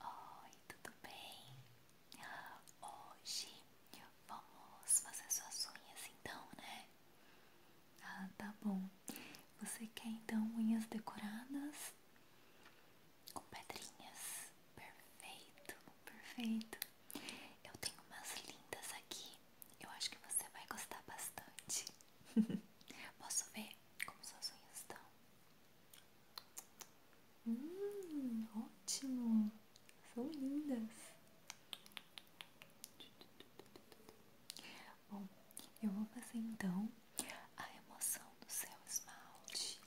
Oi, tudo bem? Hoje vamos fazer suas unhas então, né? Ah, tá bom. Você quer então unhas decoradas? Com pedrinhas? Perfeito, perfeito. Eu tenho umas lindas aqui. Eu acho que você vai gostar bastante. Posso ver como suas unhas estão? Hum, ótimo! São lindas! Bom, eu vou fazer então a emoção do céu esmalte.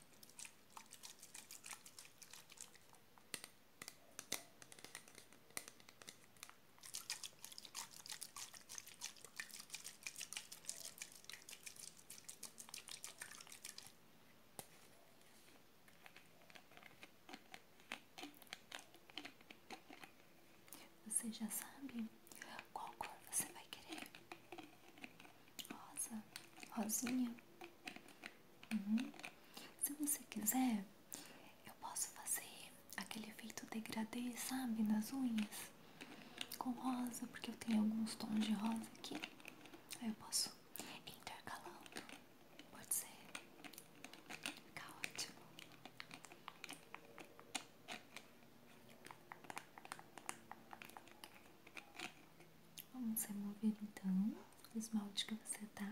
Você já sabe qual cor você vai querer? Rosa, rosinha. Uhum. Se você quiser, eu posso fazer aquele efeito degradê, sabe, nas unhas com rosa, porque eu tenho alguns tons de rosa aqui. Aí eu posso intercalando. Pode ser. Fica ótimo. Vamos remover então o esmalte que você tá.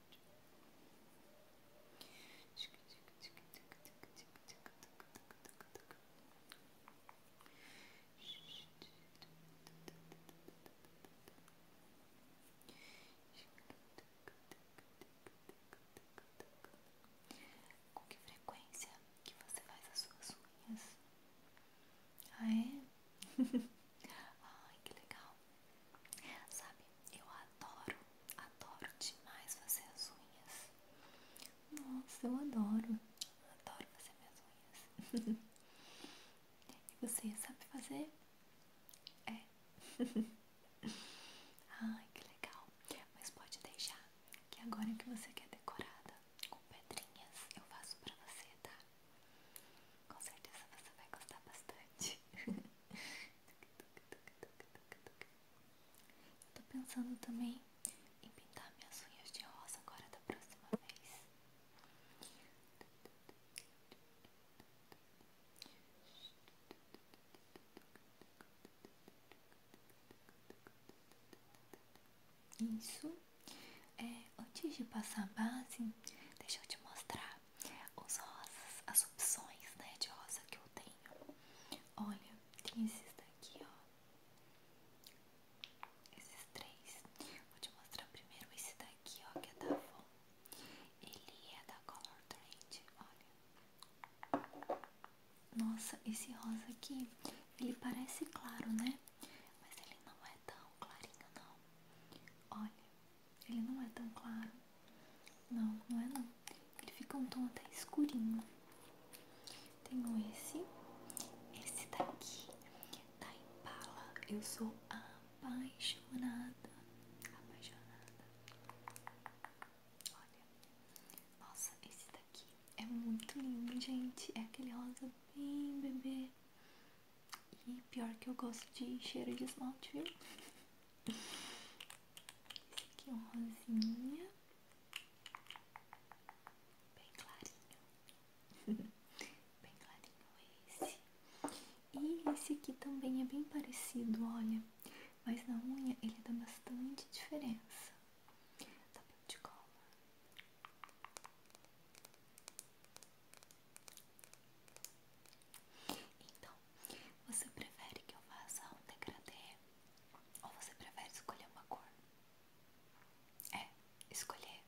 Com que frequência que você faz as suas unhas? Ah é? Ai que legal Sabe, eu adoro, adoro demais fazer as unhas. Nossa, eu adoro, adoro fazer minhas unhas. e você sabe fazer? É. Ai, que legal. Mas pode deixar que agora que você quer decorada com pedrinhas, eu faço pra você, tá? Com certeza você vai gostar bastante. Eu tô pensando também em pintar minhas unhas de rosa agora da próxima vez. Isso. É, antes de passar a base, deixa eu te mostrar os rosas, as opções, né, de rosa que eu tenho. Olha, tem esses daqui, ó. Esses três. Vou te mostrar primeiro esse daqui, ó, que é da Von Ele é da Color Trend, olha. Nossa, esse rosa aqui, ele parece claro, né? Mas ele não é tão clarinho, não. Olha, ele não é tão claro. Não, não é não. Ele fica um tom até escurinho. Tenho esse. Esse daqui em pala Eu sou apaixonada. Apaixonada. Olha. Nossa, esse daqui é muito lindo, gente. É aquele rosa bem bebê. E pior que eu gosto de cheiro de esmalte, viu? Esse aqui é um rosinha. Bem clarinho. bem clarinho esse. E esse aqui também é bem parecido, olha. Mas na unha ele dá bastante diferença. Tá bem de cola. Então, você prefere que eu faça um degradê ou você prefere escolher uma cor? É, escolher.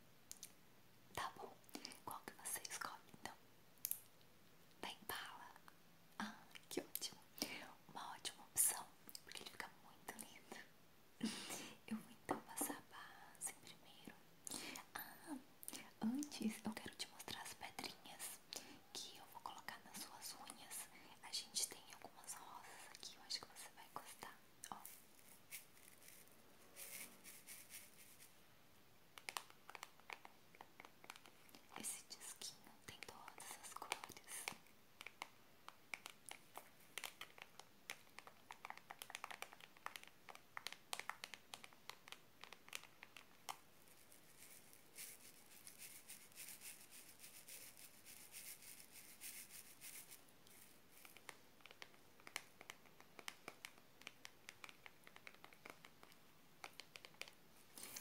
Tá bom. Qual que você escolhe então? Da tá Impala. Ah, que ótimo. Uma ótima opção, porque ele fica muito lindo. Eu vou então passar a base primeiro. Ah, Antes eu quero te mostrar as pedrinhas que eu vou colocar nas suas unhas. A gente tem algumas rosas aqui, eu acho que você vai gostar. Ó. Esse disquinho tem todas as cores.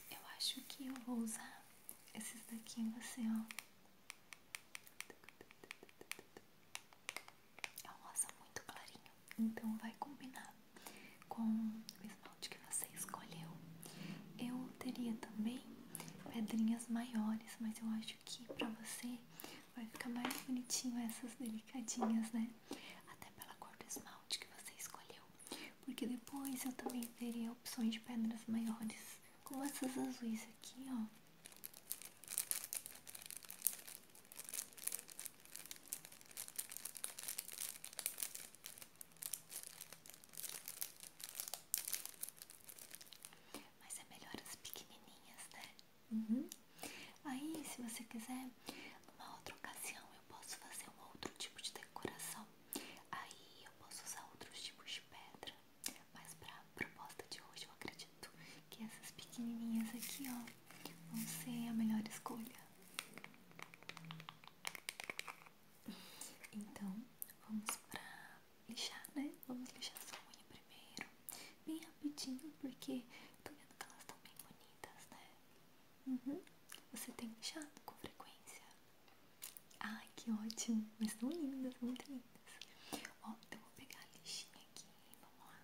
Eu acho que eu vou usar esses daqui em você, ó. É um rosa muito clarinho, então vai combinar com o esmalte que você escolheu. Eu teria também pedrinhas maiores, mas eu acho que pra você vai ficar mais bonitinho essas delicadinhas, né? Até pela cor do esmalte que você escolheu. Porque depois eu também teria opções de pedras maiores, como essas azuis aqui, ó. Mas é melhor as pequenininhas, né? Uhum. Aí, se você quiser, numa outra ocasião eu posso fazer um outro tipo de decoração. Aí eu posso usar outros tipos de pedra. Mas pra proposta de hoje eu acredito que essas pequenininhas aqui, ó, vão ser a melhor escolha. Então, vamos pra lixar, né? Vamos lixar sua unha primeiro, bem rapidinho, porque tô vendo que elas estão bem bonitas, né? Uhum. Você tem lixado com frequência? Ai, que ótimo! Mas estão lindas, muito lindas. Ó, então vou pegar a lixinha aqui, vamos lá.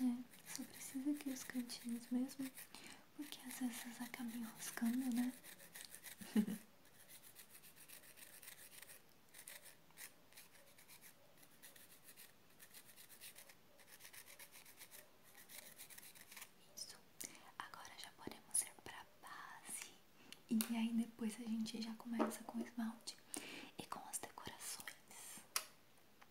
É, só precisa que os cantinhos mesmo, porque às vezes acaba enroscando, né? Isso. Agora já podemos ir pra base. E aí depois a gente já começa com o esmalte e com as decorações.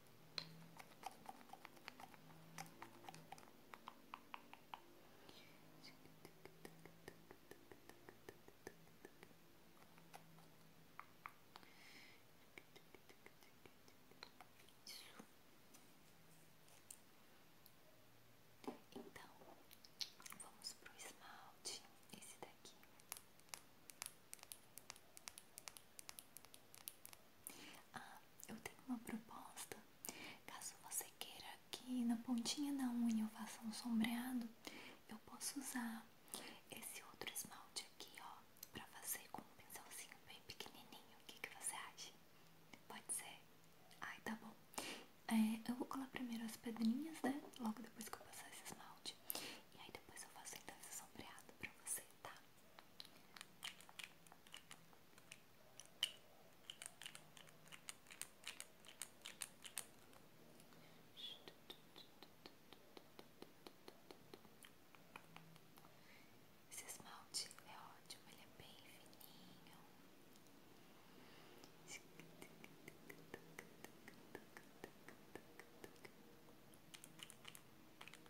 Isso. Então, vamos pro esmalte, esse daqui. Ah, eu tenho uma proposta. Caso você queira que na pontinha da unha eu faça um sombreado, eu posso usar esse outro esmalte aqui, ó, pra fazer com um pincelzinho bem pequenininho. O que, você acha? Pode ser? Ai, tá bom. É, eu vou colar primeiro as pedrinhas, né? Logo depois que eu passar esse esmalte. E aí depois eu faço então esse sombreado pra você, tá? Esse esmalte é ótimo, ele é bem fininho.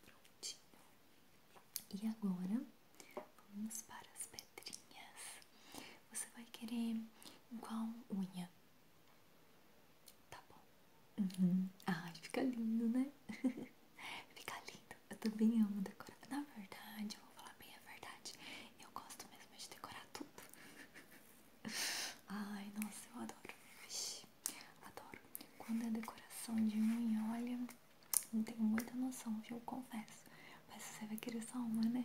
Prontinho. E agora vamos para as pedrinhas. Você vai querer igual unha? Tá bom. Uhum. Ai, fica lindo, né? fica lindo. Eu também amo decorar. Na verdade, eu vou falar bem a verdade. Eu gosto mesmo de decorar tudo. Ai, nossa, eu adoro. Vixe, adoro. Quando é decoração de unha, olha, não tenho muita noção, viu? Confesso. Mas você vai querer só uma, né?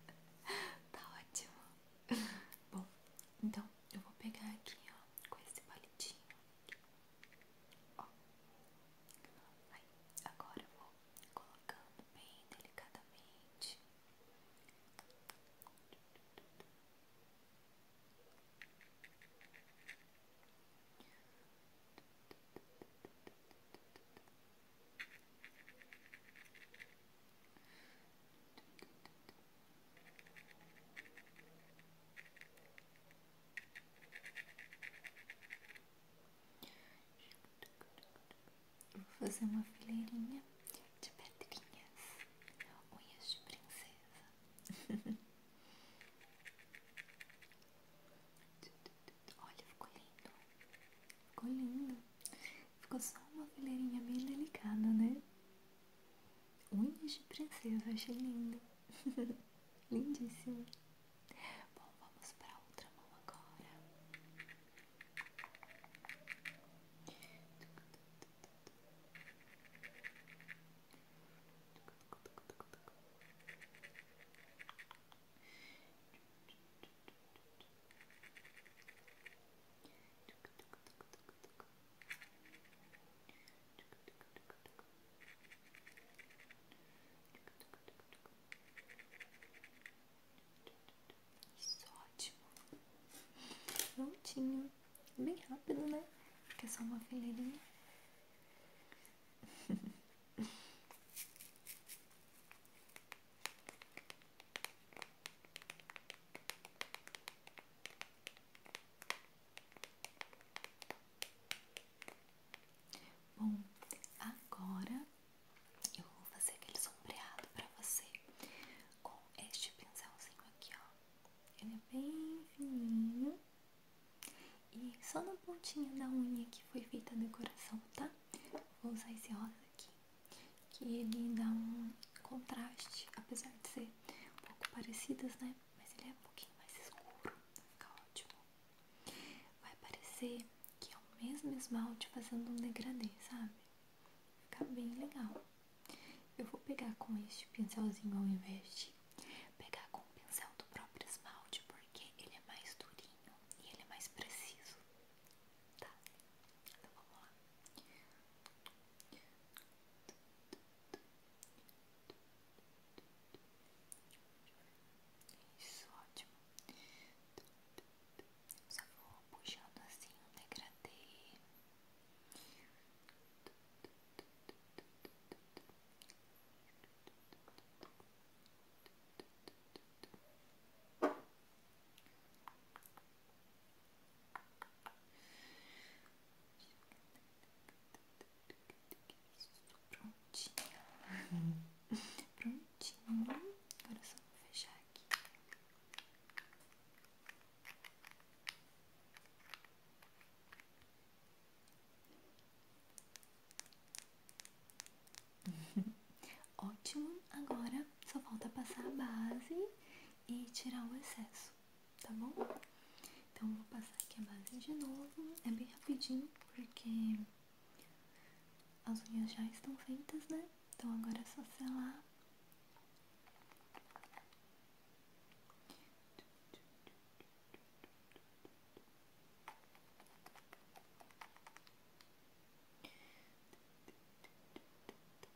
tá ótimo. Bom, então eu vou pegar aqui, ó, com esse palitinho agora vou colocando bem delicadamente. Vou fazer uma fileirinha de pedrinhas, unhas de princesa. Olha, ficou lindo. Ficou lindo. Ficou só uma fileirinha bem delicada, né? Unhas de princesa, achei lindo. Lindíssimo. Bom, vamos para outra mão agora. Isso, é ótimo. Prontinho. Bem rápido, né? Porque é só uma fileirinha. Bom, agora eu vou fazer aquele sombreado pra você com este pincelzinho aqui, ó. Ele é bem fininho e só na pontinha da unha que foi feita a decoração, tá? Vou usar esse rosa aqui que ele dá um contraste, apesar de ser um pouco parecidas, né? Mas ele é um pouquinho mais escuro, vai ficar ótimo. Vai parecer que é o mesmo esmalte fazendo um degradê, sabe? Fica bem legal. Eu vou pegar com este pincelzinho ao invés de pegar com o pincel do próprio esmalte, porque ele é mais durinho e ele é mais preciso. Tá? Então vamos lá. Isso, ótimo. Só vou puxando assim um degradê. Prontinho. Prontinho. Agora só vou fechar aqui. Ótimo, agora só falta passar a base e tirar o excesso, tá bom? Então vou passar aqui a base de novo, é bem rapidinho porque as unhas já estão feitas, né? Então agora é só selar. Tá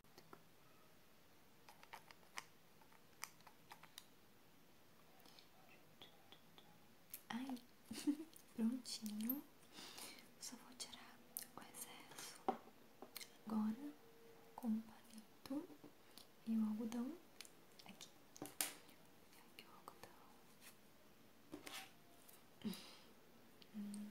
Aí, prontinho. Só vou tirar o excesso agora com o palito e o algodão aqui. Hum.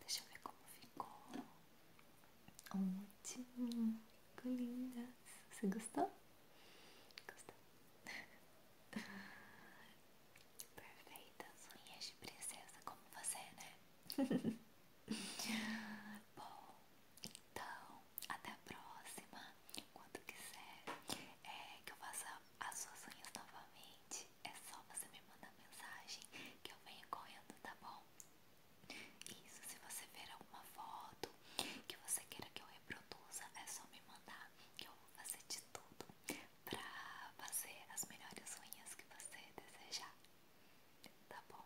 Deixa eu ver como ficou. Ótimo. Ficou linda. Você gostou? Gostou? Perfeita. Sonhas de princesa como você, né? Bom, então, até a próxima. Quando quiser é, que eu faça as suas unhas novamente, é só você me mandar mensagem que eu venho correndo, tá bom? Isso, se você ver alguma foto que você queira que eu reproduza, é só me mandar que eu vou fazer de tudo pra fazer as melhores unhas que você desejar, tá bom?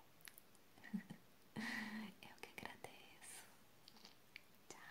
eu que agradeço. Tchau.